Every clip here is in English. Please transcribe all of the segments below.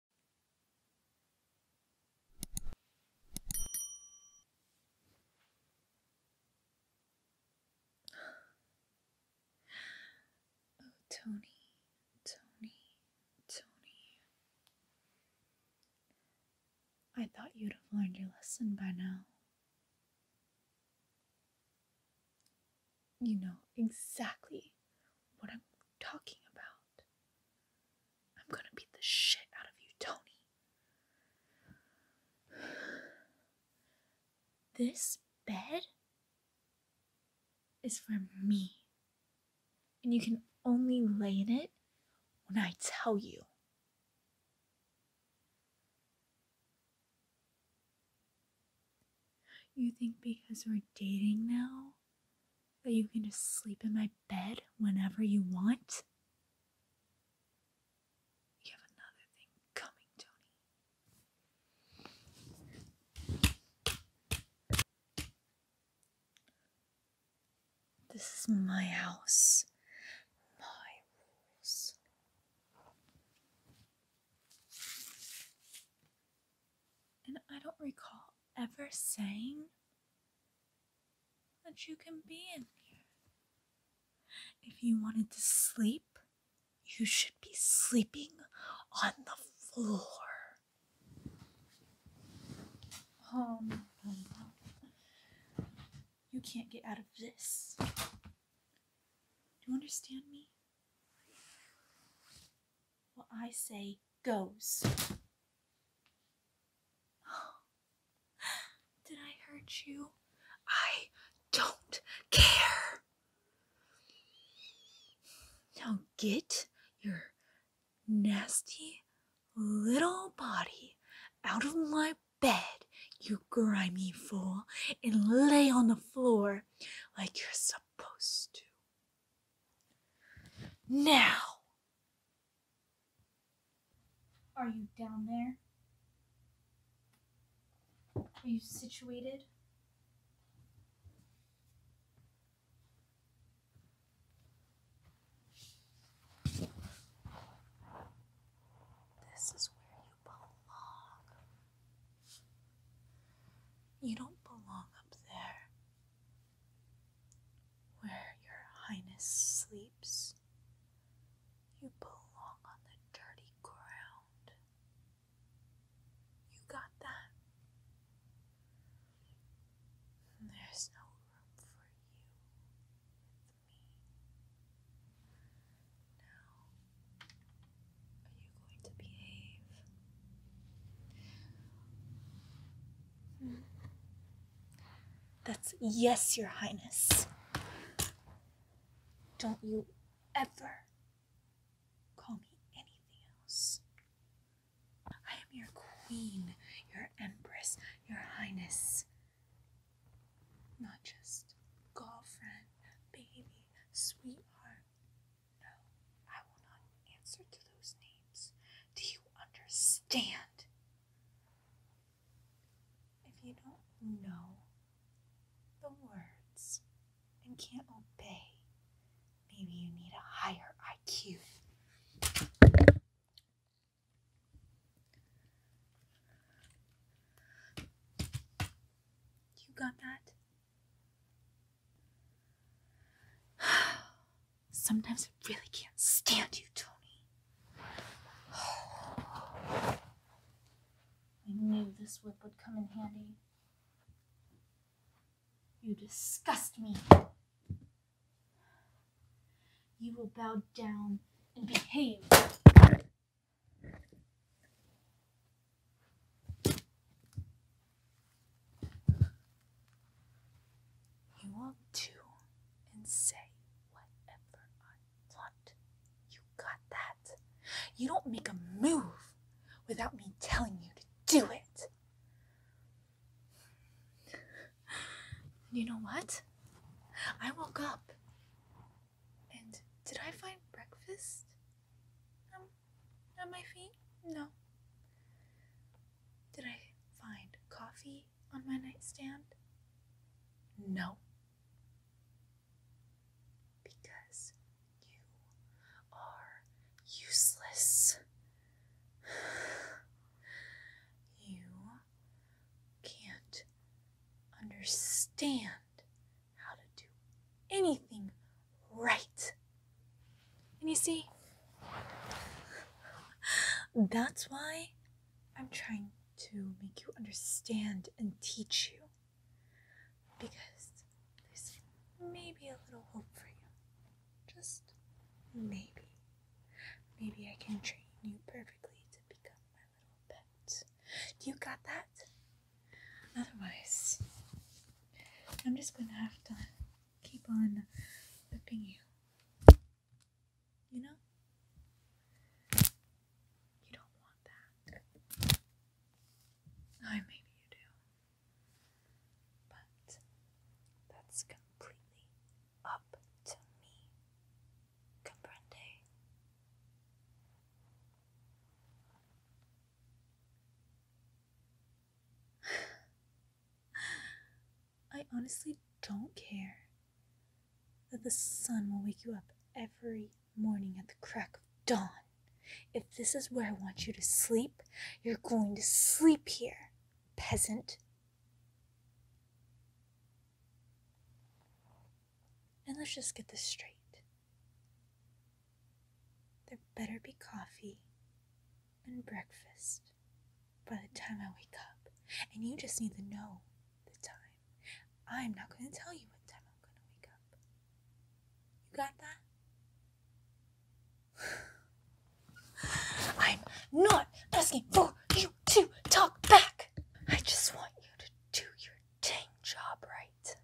Oh, Tony, Tony, Tony. I thought you'd have learned your lesson by now. You know exactly what I'm talking about. I'm gonna beat the shit out of you, Tony. This bed is for me. And you can only lay in it when I tell you. You think because we're dating now, that you can just sleep in my bed whenever you want? You have another thing coming, Tony. This is my house. My rules. And I don't recall ever saying that you can be in here. If you wanted to sleep, you should be sleeping on the floor. Um, you can't get out of this. Do you understand me? what I say goes. did I hurt you? I don't care. Now get your nasty little body out of my bed, you grimy fool, and lay on the floor like you're supposed to. Now! Are you down there? Are you situated? This is where you belong. You don't belong up there where your highness sleeps. You belong on the dirty ground. You got that? There's no room for you with me. Now are you going to behave? That's yes, Your Highness. Don't you ever call me anything else. I am your queen, your empress, Your Highness. Not just girlfriend, baby, sweetheart, no, I will not answer to those names. Do you understand? If you don't know the words and can't obey, maybe you need a higher IQ. You got that? Sometimes I really can't stand you, Tony. I knew this whip would come in handy. You disgust me. You will bow down and behave. You want to and say whatever I want. You got that. You don't make a move without me telling you to do it. You know what? I woke up and did I find breakfast? Um, on my feet? No. Did I find coffee on my nightstand? No. Because you are useless. You can't understand how to do anything right. And you see, that's why I'm trying to make you understand and teach you. Because there's maybe a little hope for you. Just maybe. Maybe I can train you perfectly to become my you got that? Otherwise, I'm just gonna have to keep on whipping you. You know? You don't want that. I maybe do. But that's completely up to me. Comprende? I honestly don't care that the sun will wake you up every morning at the crack of dawn. If this is where I want you to sleep, you're going to sleep here, peasant. And let's just get this straight. There better be coffee and breakfast by the time I wake up. And you just need to know the time. I'm not going to tell you what time I'm going to wake up. You got that? I'm not asking for you to talk back. I just want you to do your dang job right.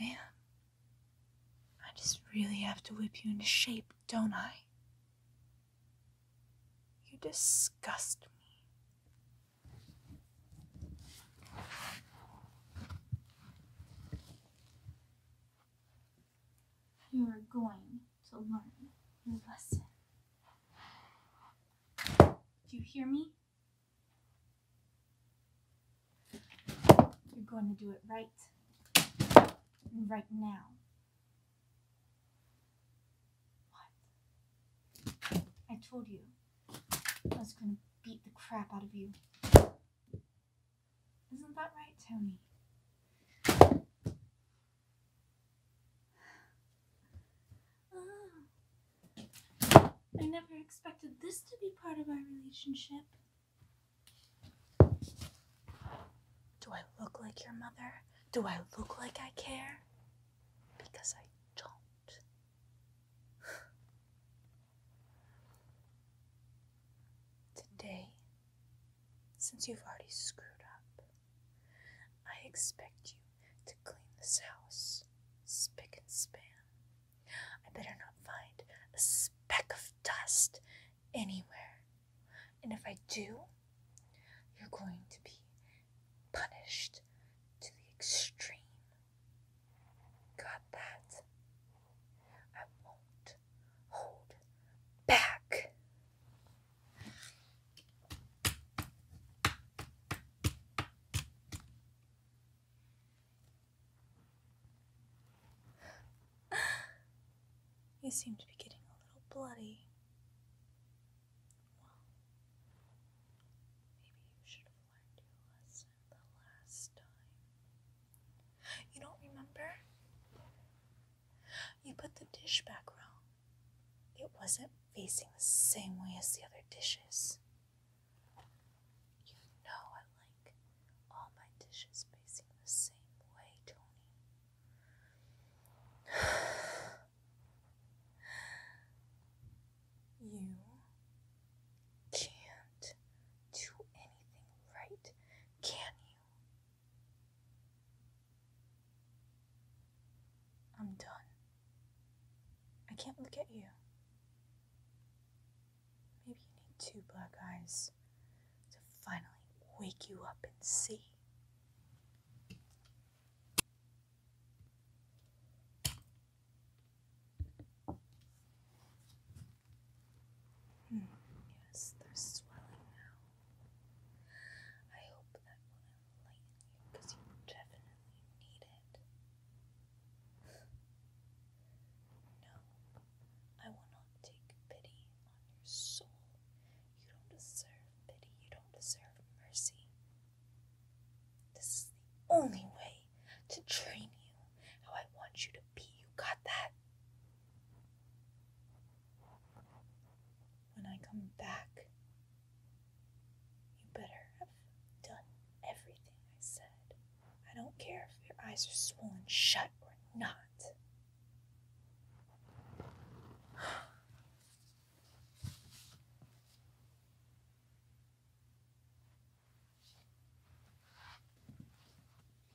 Man, I just really have to whip you into shape, don't I? You disgust me. You are going to learn your lesson. Do you hear me? You're going to do it right, right now. What? I told you I was going to beat the crap out of you. Isn't that right, Tony? Oh. I never expected this to be part of our relationship. Do I look like your mother? Do I look like I care? Because I don't. Today, since you've already screwed up, I expect you to clean this house spick and span. I better not find a speck of dust anywhere. And if I do, you're going to be punished to the extreme. Got that? I won't hold back you seem to be getting a little bloody. Well, maybe you should have learned your lesson the last time. You don't remember? You put the dish back wrong. It wasn't facing the same way as the other dishes. You know I like all my dishes facing the same way, Tony. you can't do anything right, can you? I'm done. I can't look at you. Maybe you need two black eyes to finally wake you up and see. Hmm, yes, they're swelling now. I hope that will enlighten you you definitely need it. No, I will not take pity on your soul. You don't deserve pity, you don't deserve mercy. This is the only way to train you how I want you to be. You got that? When I come back, you better have done everything I said. I don't care if your eyes are swollen shut or not.